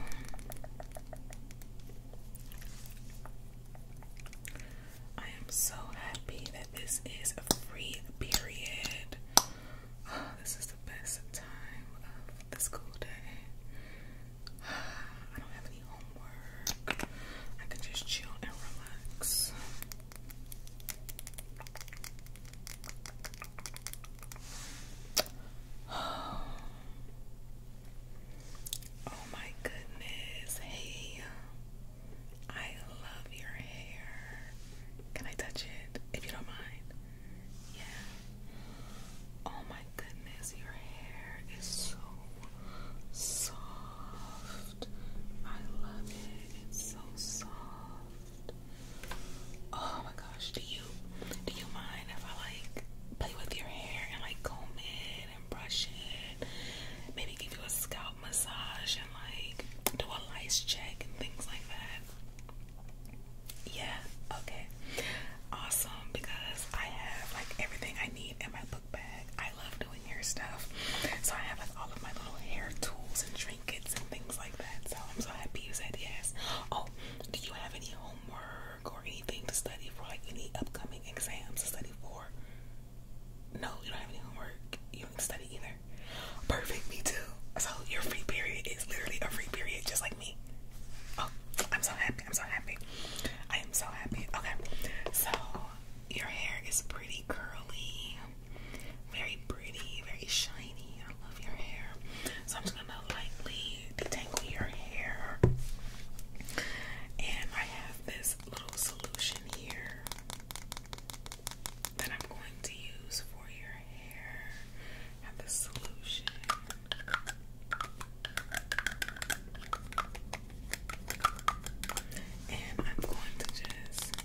I am so happy that this is a free period. this is the best time of the school day. I don't have any homework. I can just chill and relax. Oh my goodness. Hey. I love your hair. Can I touch it if you don't mind? Yeah. Oh my goodness, your hair is so soft. I love it. It's so soft. Oh my gosh, do you do you mind if I like play with your hair and like comb it and brush it? Maybe give you a scalp massage and like do a lice check and things like that. Yeah, okay. Awesome because I have like everything I need in my book bag. I love doing hair stuff. So I have like all of my little hair tools and trinkets and things like that. So I'm so happy you said yes. Oh, do you have any homework? or anything to study for, like any upcoming exams to study for. No, you don't have any homework. You don't study either. Perfect, me too. So your free period is literally a free period, just like me. Oh, I'm so happy. I'm so happy. I am so happy. Okay, so your hair is pretty curly, very pretty, very shiny. I love your hair. So I'm just gonna lightly detangle your hair. And I have this little solution here that I'm going to use for your hair. I have this solution. And I'm going to just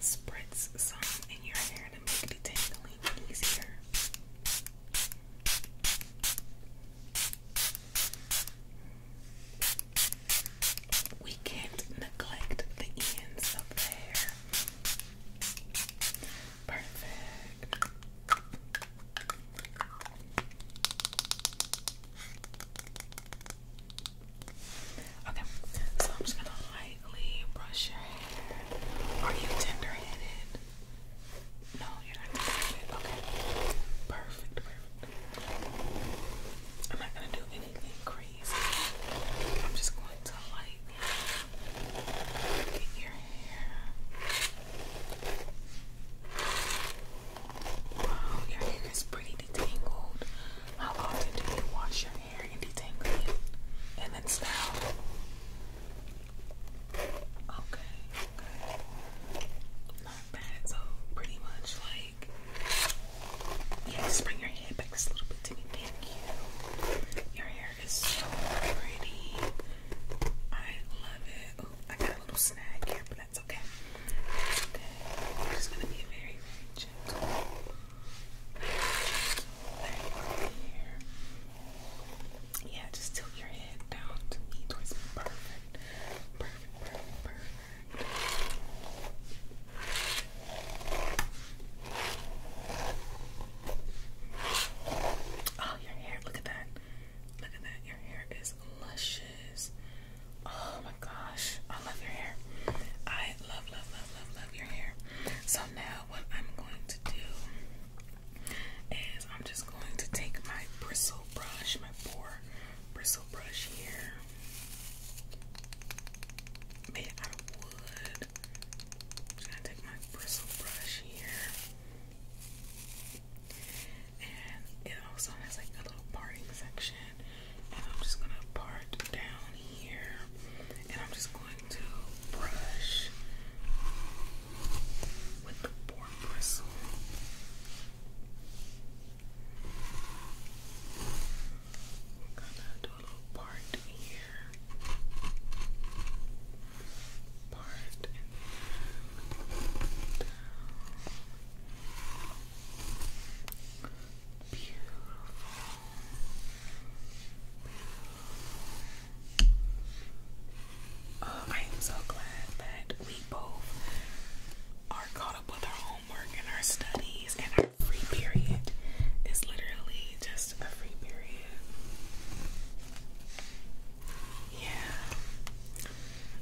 spritz some in your hair to make it detangling easier. We can't neglect the ends of hair. Perfect. Okay, so I'm just gonna lightly brush your hair. Are you tender headed? No, you're not going Okay. Perfect, I'm not gonna do anything crazy. I'm just going to lightly get your hair. Wow, your hair is pretty detangled. How often do you wash your hair and detangle it? And then style? Okay, Not bad. So pretty much like yeah, bring your head back just a little bit Thank you. Your hair is so pretty. I love it. Oh, I got a little snag here, but that's okay. That's gonna be very, very Very gentle. Yeah, just tilt your head down to me towards me. Perfect. Oh, your hair. Look at that. Look at that. Your hair is luscious. Oh my gosh. I love your hair. I love, love, love, love, love your hair. So now what I'm going to do is I'm just going to take my bristle brush, my four bristle brush here, made out of wood. just gonna take my bristle brush here, and it also has like a little parting section. And I'm just gonna part down here, and I'm just going to brush with the boar bristle. We're gonna do a little part here, part down. Beautiful. Oh, I am so glad that we both are caught up with our homework and our studies, and our free period is literally just a free period. Yeah.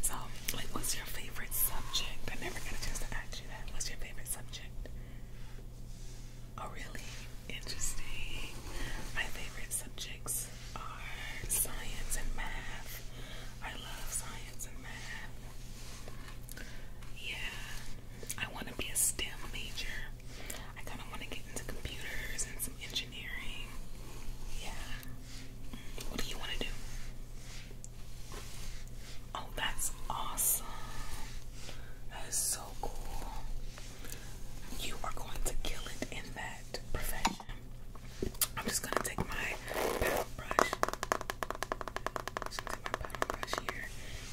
So, like, what's your favorite subject? I never got a chance to ask you that. What's your favorite subject? Oh, really? Interesting. My favorite subjects are science and math. I love science and math. Yeah, I want to be a STEM major. I kind of want to get into computers and some engineering. Yeah. Mm, what do you want to do? Oh, that's awesome. That is so cool. You are going to kill it in that. I'm just gonna take my paddle brush. just take my paddle brush here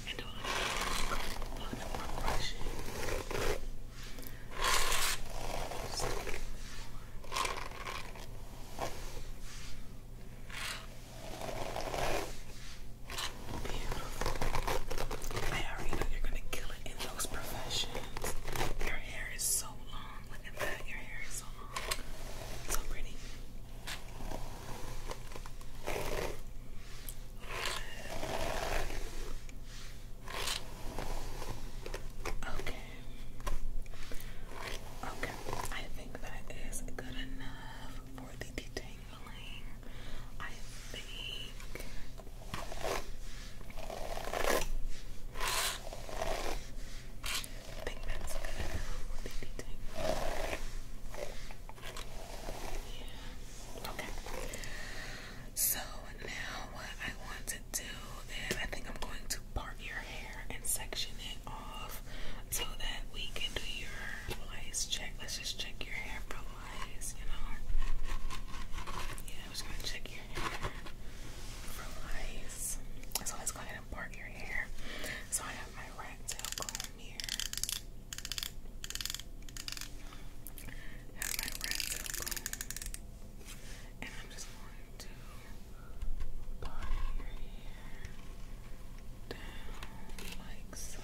and do a little, more brushing. Just a you're gonna kill it those professions. Your hair is so long. Look at that. Your hair is so long. So pretty. Okay. Okay. I think that is good enough for the detangling. I think Okay. So now what I want to do is I think I'm going to part your hair and section it off so that we can do your lice check. Let's just check your hair for you know. Yeah. I'm just gonna check your hair for lice. So let's go ahead and part your hair. So I have my rat tail comb here. And I'm just going to part your hair down like so.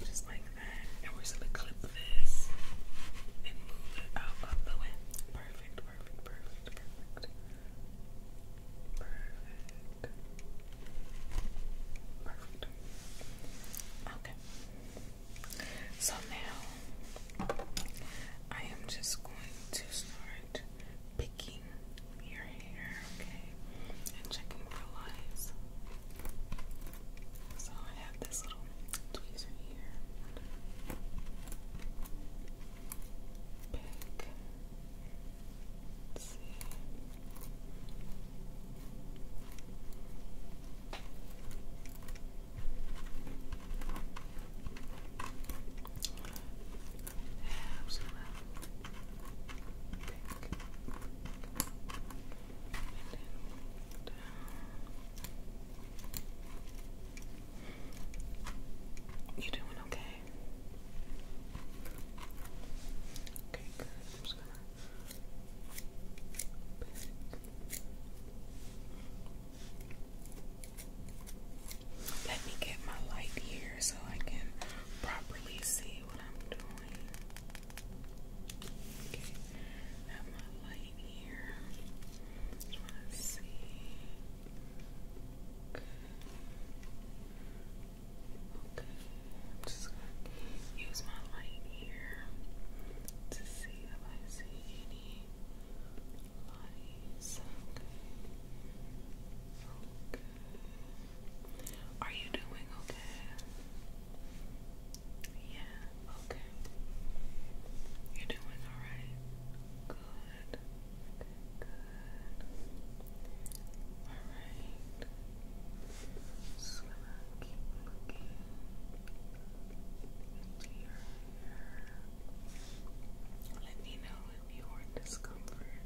Just like that. And we're just gonna clip this and move it out of the way. Perfect, perfect, perfect, perfect. Perfect. Perfect. Okay. So now I am just going to start picking your hair, okay? And checking for lies. So I have this little tweezer here. Pick. Let's see. I'm you doing okay? Okay, I'm just gonna let me get my light here so I can properly see what I'm doing. Okay, have my light here. Just want to see. Okay. I'm just gonna use my light here to see if I see any lights. Are you doing okay? Yeah, okay. You're doing alright. Good. Good. Alright. So I keep looking Let me know if you are discomfort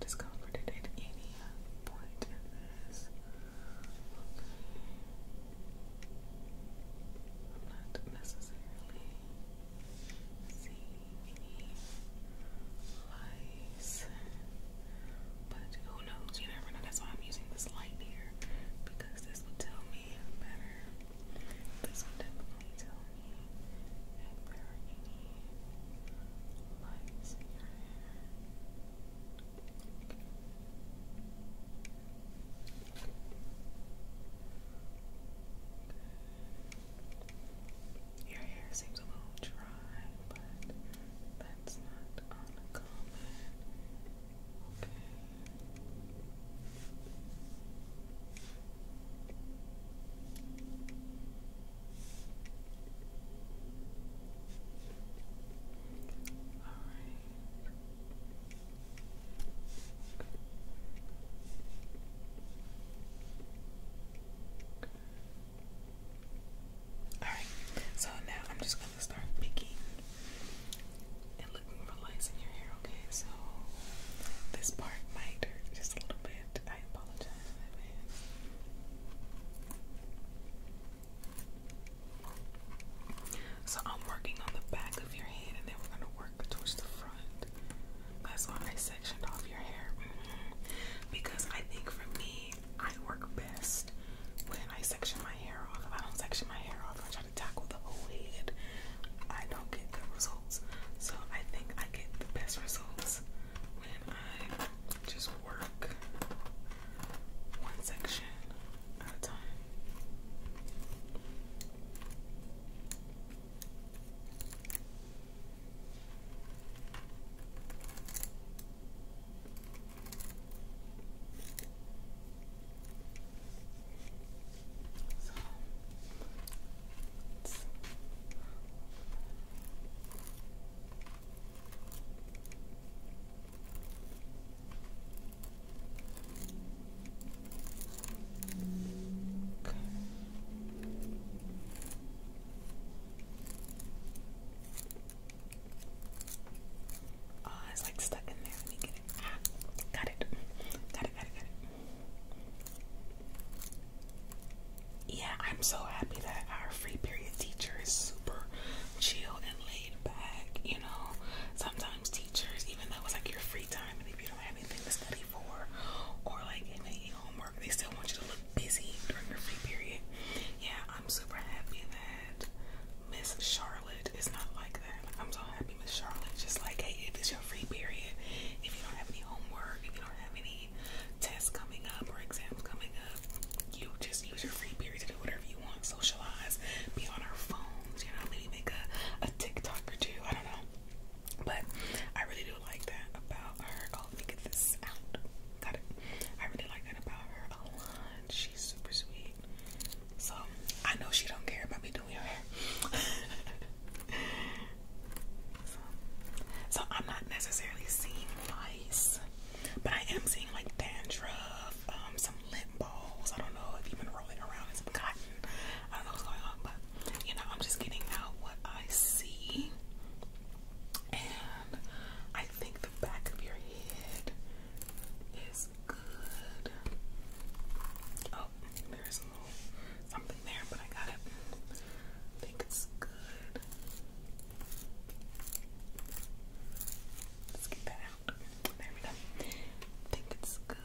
discomforted at any point in this not necessarily seeing any lights, but who knows? You never know. That's why I'm using this light here because this will tell me better. This will definitely tell me if there are any lights in your hair. Your hair seems a little dry, but that's not uncommon. Okay. All right. Alright, so now I'm just going to start picking and looking for lights in your hair, okay? So this part might hurt just a little bit. I apologize so I'm working on the back of your head and then we're gonna work towards the front. That's why I sectioned off your hair. Mm -hmm. Because I think for me, I work best when I section my hair off. If I don't section my hair off, I try to tackle the whole head. I don't get good results. So I think I get the best results when I just work one section at a time. So Oh, it's like stuck in there. Let me get ah, it. Got it, got it, got it. Yeah, I'm so happy that our free period teacher is super chill and laid laid back, you know. Sometimes teachers, even though it's like your free time and if you don't have anything to study for or like any homework, they still want you to look busy during your free period. Yeah, I'm super happy that Miss Charlotte is not like that. I'm so happy Miss Charlotte just like, hey, if it's your free period, if you don't have any homework, if you don't have any tests coming up or exams coming up, you just use your free period to do whatever you want, socialize, be on our phones, you know, maybe make a, a TikTok or two. I don't know. But I really do like that about her. Oh, let me get this out. Got it. I really like that about her a lot. She's super sweet. So I know she don't care about me doing her hair. so, I'm not necessarily seeing lice, but I am seeing like dandruff, um, lint balls. I don't know if you've been rolling around in some cotton. I don't know what's going on, but you know, I'm just getting out what I see. And I think the back of your head is good. Oh, there's a little something there, but I got it. I think it's good. Let's get that there we go. I think it's good.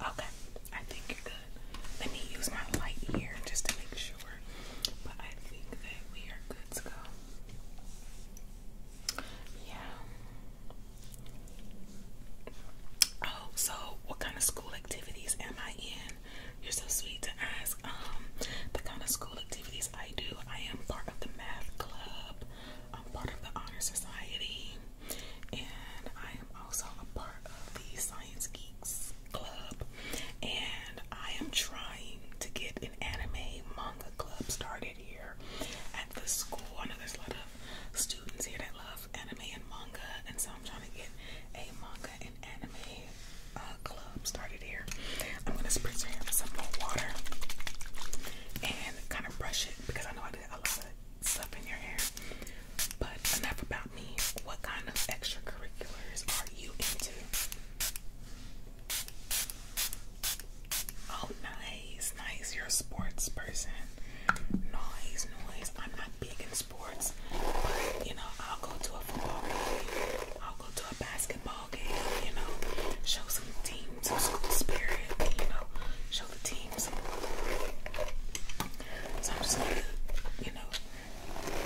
Okay, I think you're good. Let me use my light here just to make sure. But I think that we are good to go. Yeah. Oh, so what kind of school activities am I in? You're so sweet to ask. Um, the kind of school activities I do. I am part of the math club. I'm part of the honor society, and I am also a part of the science geeks club. And I am trying to get an anime manga club started here at the school. I know there's a lot of students here that love anime and manga, and so I'm trying to get a manga manga anime uh, club started here. I'm going to spritz your hair with some more water and kind of brush it because I know I did a lot of stuff in your hair. But enough about me. What kind of extracurriculars are you into? Oh, nice, nice. You're a sports person. Nice, nice. I'm not big in sports. you know, I'll go to a football game. I'll go to a basketball game, you know. Show some team, some school spirit, you know. Show the team So I'm just gonna, you know,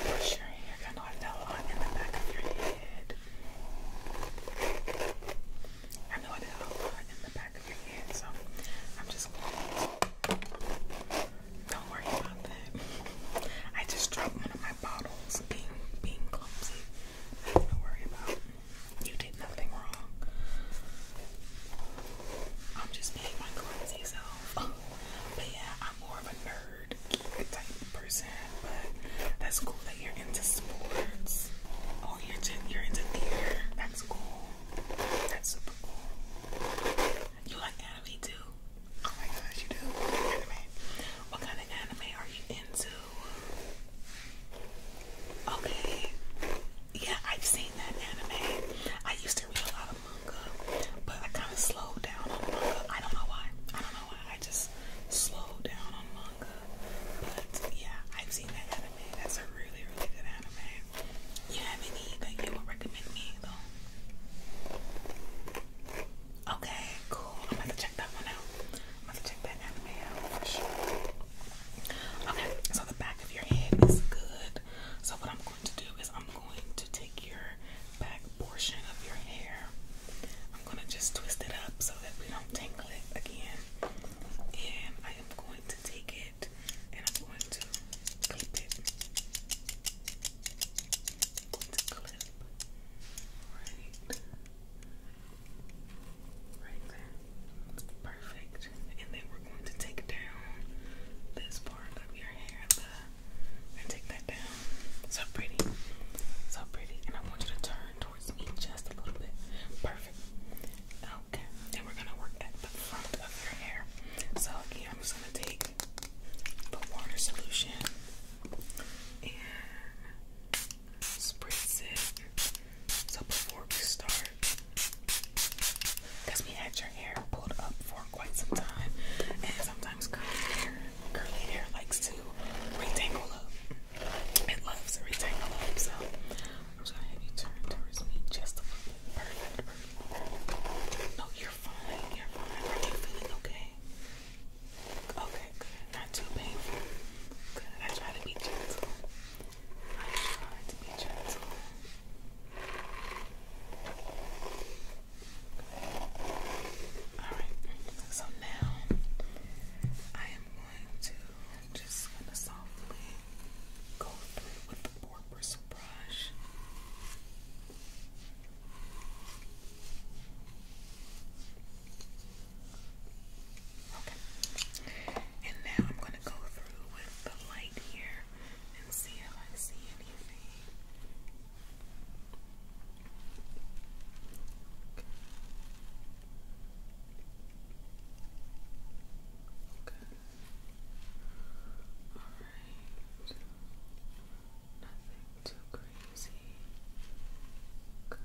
brush your hair. kind of I fell in the back of your head. I know I did a lot in the back of your head, so I'm just don't worry about that. I just dropped one of my bottles being clumsy. Nothing to worry about. You did nothing wrong. I'm just being my clumsy self. But yeah, I'm more of a nerd type person. But that's cool that you're into sports. Oh, you're into, you're into theater. That's cool. That's super cool. You like anime too. Oh my gosh, you do? Anime. What kind of anime are you into? Okay. Yeah, I've seen that anime. I used to read a lot of manga, but I kind of slowed down on manga. I don't know why. I don't know why. I just slowed down on manga. But yeah, I've seen that anime. That's a really, really good anime. You have any that you would recommend me though? Okay, cool. I'm about to check that one out. I'm about to check that anime out for sure. Okay, so the back of your head is good. So what I'm going to do is I'm going to take your back portion of your hair. I'm gonna just twist it up so that we don't tangle it again. And I am going to take it and I'm going to clip it right, right there, perfect. And then we're going to take down this part of your hair, and take that down. So pretty, so pretty. And I want you to turn towards me just a little bit. Perfect. Okay, and we're gonna work at the front of your hair. So again, I'm just gonna take put water solution and spritz it. So before we start, we had your hair pulled up for quite some time, and sometimes curly curly hair likes to retangle up. It loves to retangle up, so I'm gonna have you turn towards me just a little Perfect. No, you're fine. You're fine. Are you feeling okay? Okay, good. Not too painful. Good. I try to be gentle. I try to be gentle. Alright, so now I am going to just gonna softly go through with the porpoise brush. Okay. And now I'm going to go through with the light here and see if I see anything. Okay. All right. Nothing too crazy. Good.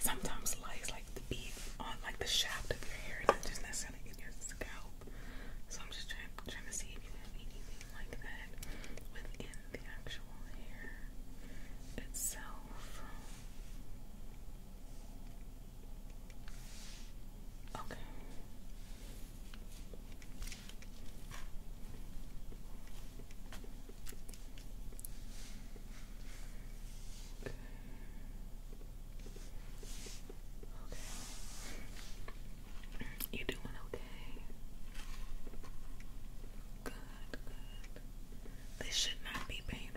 Sometimes lights like the beat on like the shaft of your hair, not just necessarily in your scalp. So I'm just trying trying to see if you have anything like that within the actual hair itself. 12. Okay. Okay. You doing okay? Good, This should not be painful.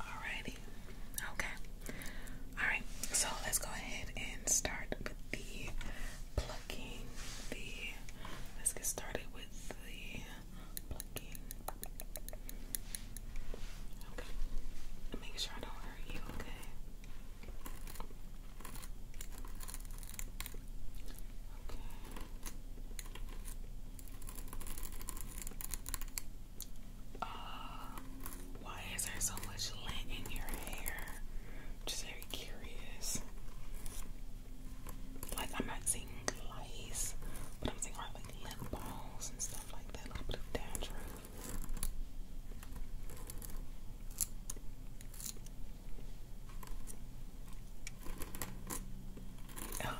Alrighty. Okay. Alright, so let's go ahead and start with the plucking. The let's get started with the plucking. Okay. Make sure I don't hurt you, okay? why is there so much lint in your hair? just very curious. Like I'm not seeing lice, but I'm seeing like lint balls and stuff like that. A little bit of dandruff. Oh,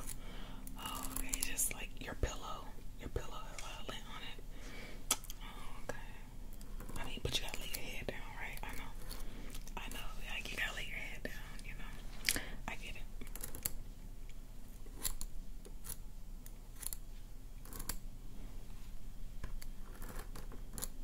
oh, okay, just like your pillow. Your pillow has uh, on it. Oh, okay. I mean, but you gotta lay your head down, right? I know. I know. Like, you gotta lay your head down, you know. I get it.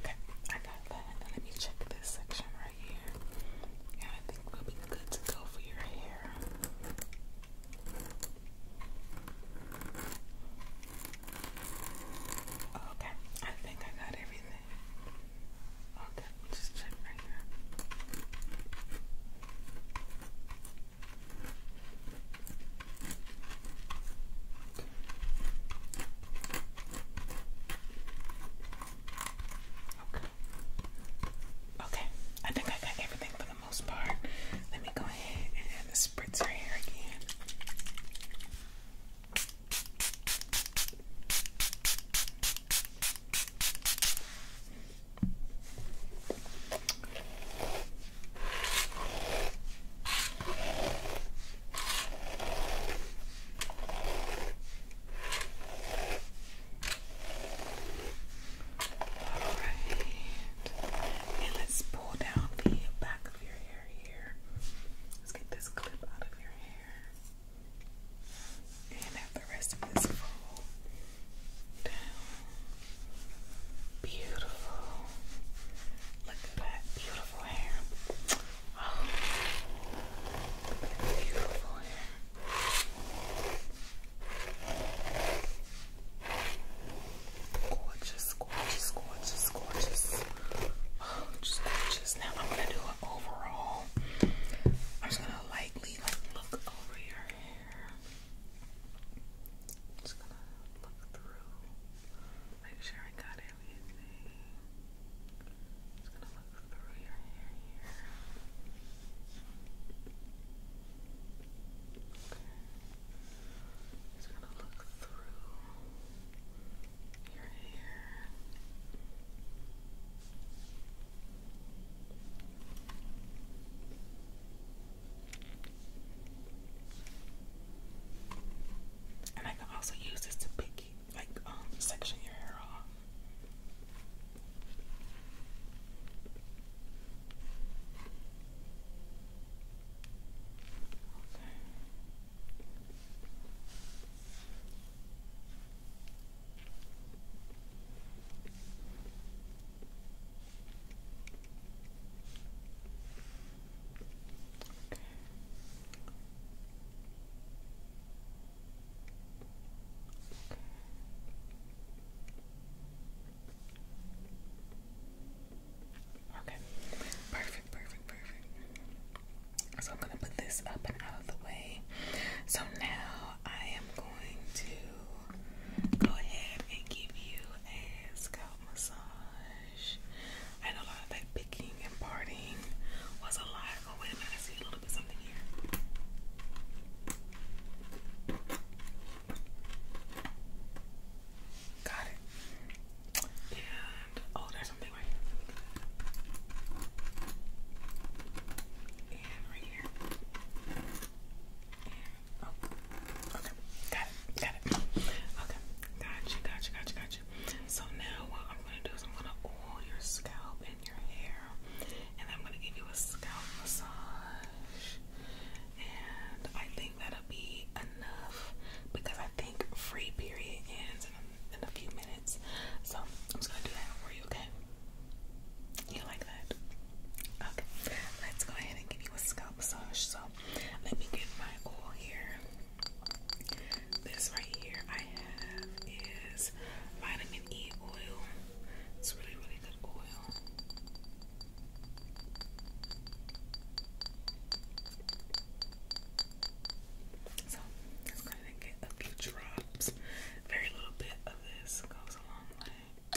Okay, I got that. let me check this section right here. Yeah, I think we'll be good to go for your hair. Okay, I think I got everything. Okay, just check right here. Okay. Okay, I think I got everything for the most part. Let me go ahead and spritz the hair again. And let's pull down the back of your hair here. Let's get this clip out of your hair. And have the rest of this roll down. Beautiful. Look at that beautiful hair. Oh, beautiful hair. Gorgeous, gorgeous, gorgeous, gorgeous. Oh, just gorgeous. Now I'm gonna do an overall. I'm just gonna lightly like look over your hair. Just gonna look through, make sure I got everything. Just gonna look through your hair here. Just gonna look through your hair. And I can also use this to pick like um, section your hair off. Okay. Perfect, perfect, perfect. So I'm going to put this up and out of the way. So now I am going to go ahead and give you a scalp massage gosh. And a lot of that picking and partying was a lot. Oh, wait I see a little bit something here. Got it. And oh, there's something right here. And right here. And okay, got it, got it. Okay, got you, got you, got you, got you. So now what I'm gonna do is I'm gonna oil your scalp and your hair, and I'm gonna give you a scalp massage. And I think that'll be enough because I think free period ends in a, few minutes. So I'm just gonna do that for you, okay? You like that? Okay, let's go ahead and give you a scalp massage. So let me get my oil here. This right here I have is vitamin E oil. It's really, really good oil. So it's gonna get a few drops. Very little bit of this goes a long way.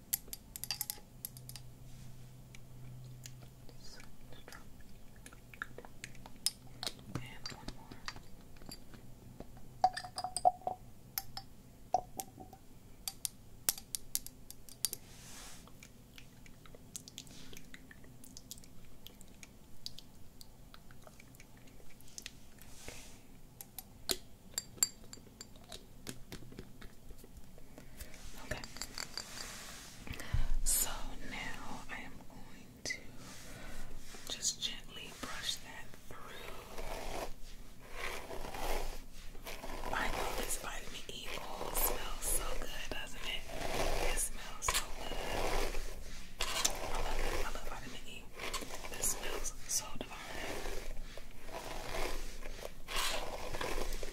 And one more. Okay. Okay. So now I am going to just gently brush that through. I know this vitamin E oil smells so good, doesn't it? It smells so good. I love I love vitamin E. This smells so divine.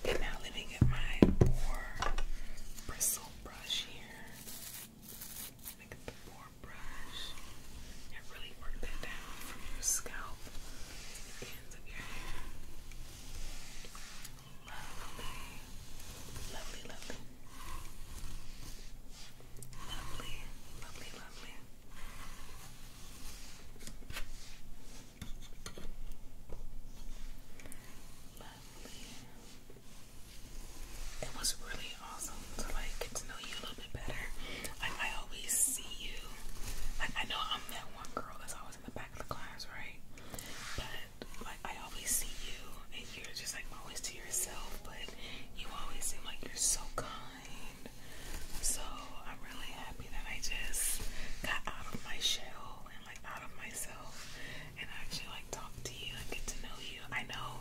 And now let me get my boar bristle brush here. Let me get the boar brush and really work that down from your scalp the ends of your hair. Lovely, lovely, lovely. Lovely, lovely, lovely. It was really awesome to like know you a little bit better. Like I always see you. Like I know I'm one girl that's always in the back of the class, right? But like I always see you and you're just like always to yourself, but you always seem like you're so kind. So I'm really happy that I just got out of my shell and like out of myself and actually like talk to you and get to know you. I know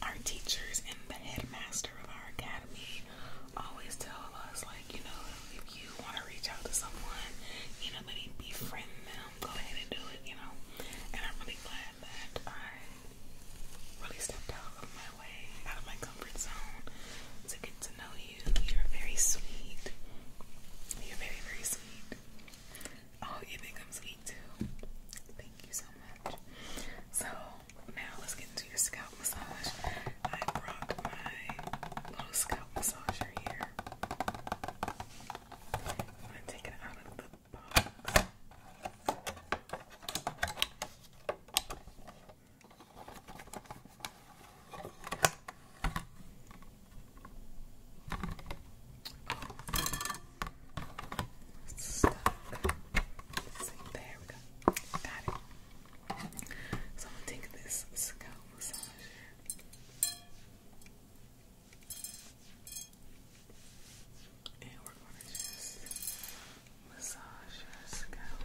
our teachers and the headmaster of our academy always tell us like, you know, if you want to reach out to someone, you know, maybe befriend them, go ahead and do it, you know. And I'm really glad that I really stepped out of my way, out of my comfort zone to get to know you you. are very sweet. You're very, very sweet. Oh, you think I'm sweet too? Thank you so much. So, now let's get into your scalp massage. I brought my little scalp massager here. I'm going to take it out of the box. It's stuck. So I'm going this scalp massage and we're gonna just massage your scalp.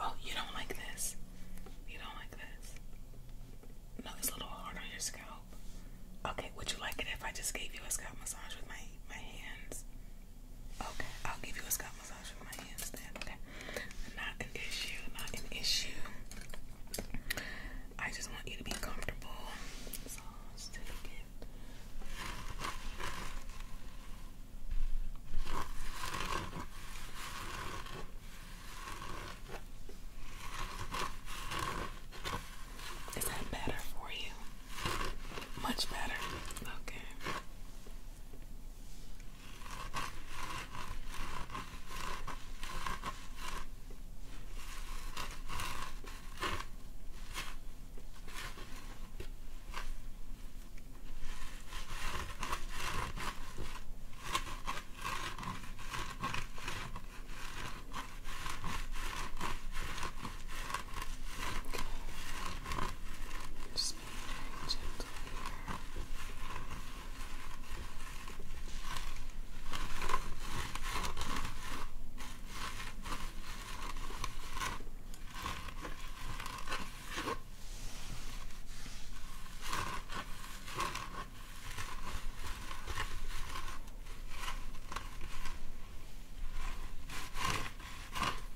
Oh, you don't like this. You don't like this. No, it's a little hard on your scalp. Okay, would you like it if I just gave you a scalp massage with my my hands. Okay, I'll give you a scalp massage with my hands Okay, not an issue, not an issue. I just want you to be comfortable. So that better for you? Much better. Okay. Okay. Just being very gentle here. Okay.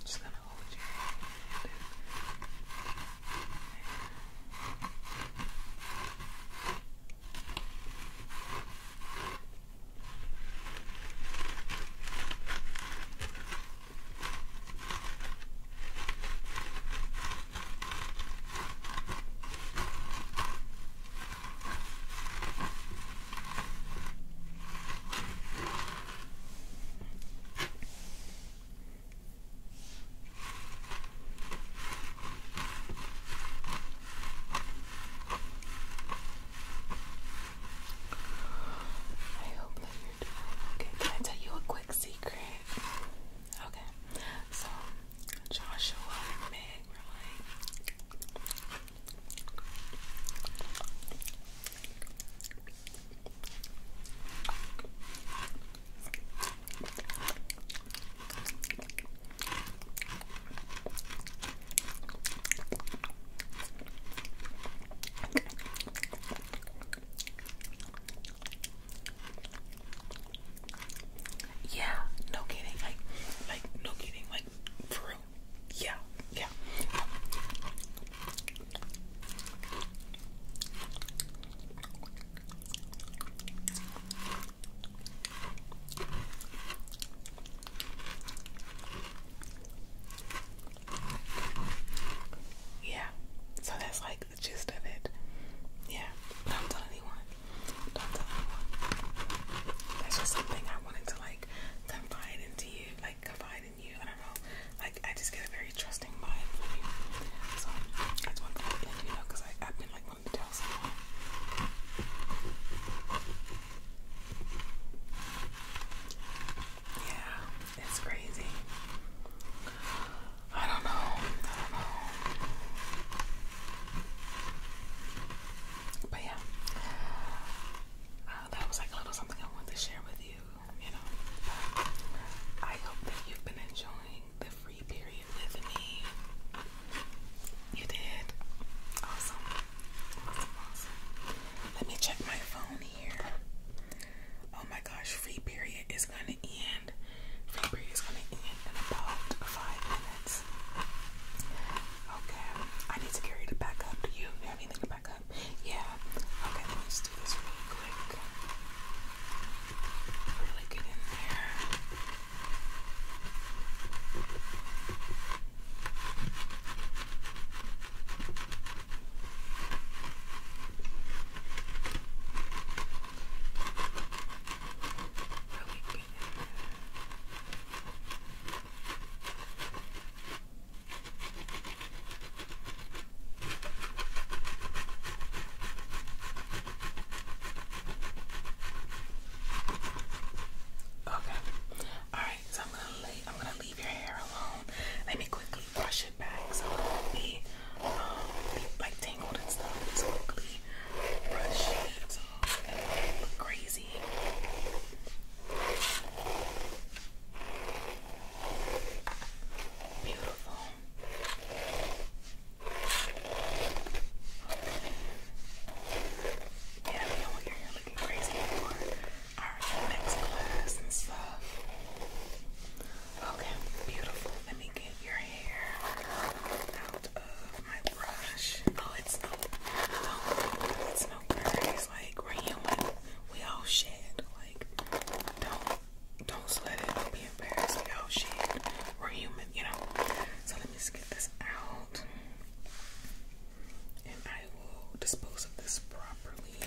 Just gonna hold you hand Okay. I hope that you're doing okay. Can I tell you a quick secret? Okay. So Joshua and Meg were like yeah, no kidding. Like, like, no kidding. Like, for yeah, yeah. Yeah, so that's like the gist of it. Yeah, don't tell anyone. Don't tell anyone. That's just something I wanted to like confide in like confide in you. I don't know. Like I just get a very trusting mind from you. So I just want you, know, I've been like wanting to tell someone. Yeah, it's crazy. I don't know. I don't know. But yeah. Uh, that was like a little something I wanted to share with you. You know, I hope that you've been enjoying the free period with me. You did awesome, awesome. Let me check my phone here. Oh my gosh, free period is gonna end. Free period is gonna end in about five minutes. Okay, I need to carry it back up. Do you have anything to back Yeah. Okay, then let's do this really quick. Really get in there. Really get in there. Okay. All right. So I'm gonna leave your hair alone. Let me quickly brush it back so it won't be, um, like tangled and stuff. So quickly brush it so it not crazy. Beautiful. Yeah, we don't want your looking crazy anymore. Alright, next class and stuff. Okay, beautiful. Let me get your hair out of my brush. Oh, it's no, oh, it's no grease like we're human. We all shit. Like don't don't sweat it. Don't be embarrassed. We all shit. We're human, you know. So let me get this out. And I will dispose of this properly.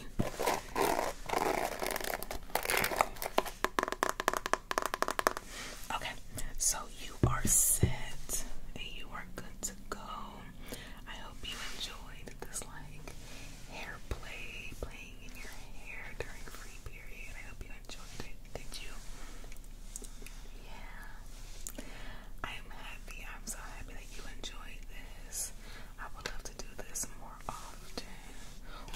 Okay, so you are set and you are good to go. I hope you enjoyed this like hair play playing in your hair during free period. I hope you enjoyed it. Did you? Yeah. I'm happy. I'm so happy that you enjoyed this. I would love to do this more often.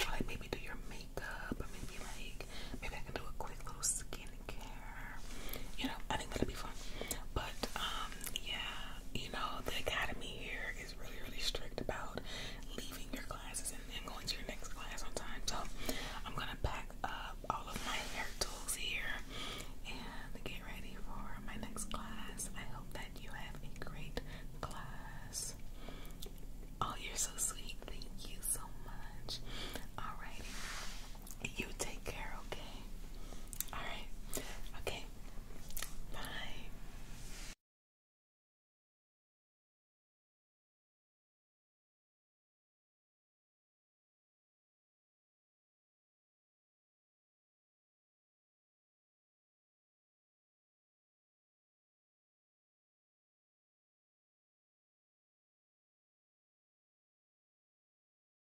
Or like maybe do your makeup or maybe like maybe I can do a quick little skincare you know, I think that'll be fun. But um, yeah, you know, the academy here is really, really strict about leaving your classes and, and going to your next class on time. So I'm gonna pack up all of my hair tools here and get ready for my next class. I hope that you have a great class. Oh, you're so sweet. Thank you so much. Alrighty. You take care, okay? Alright. Okay. Bye.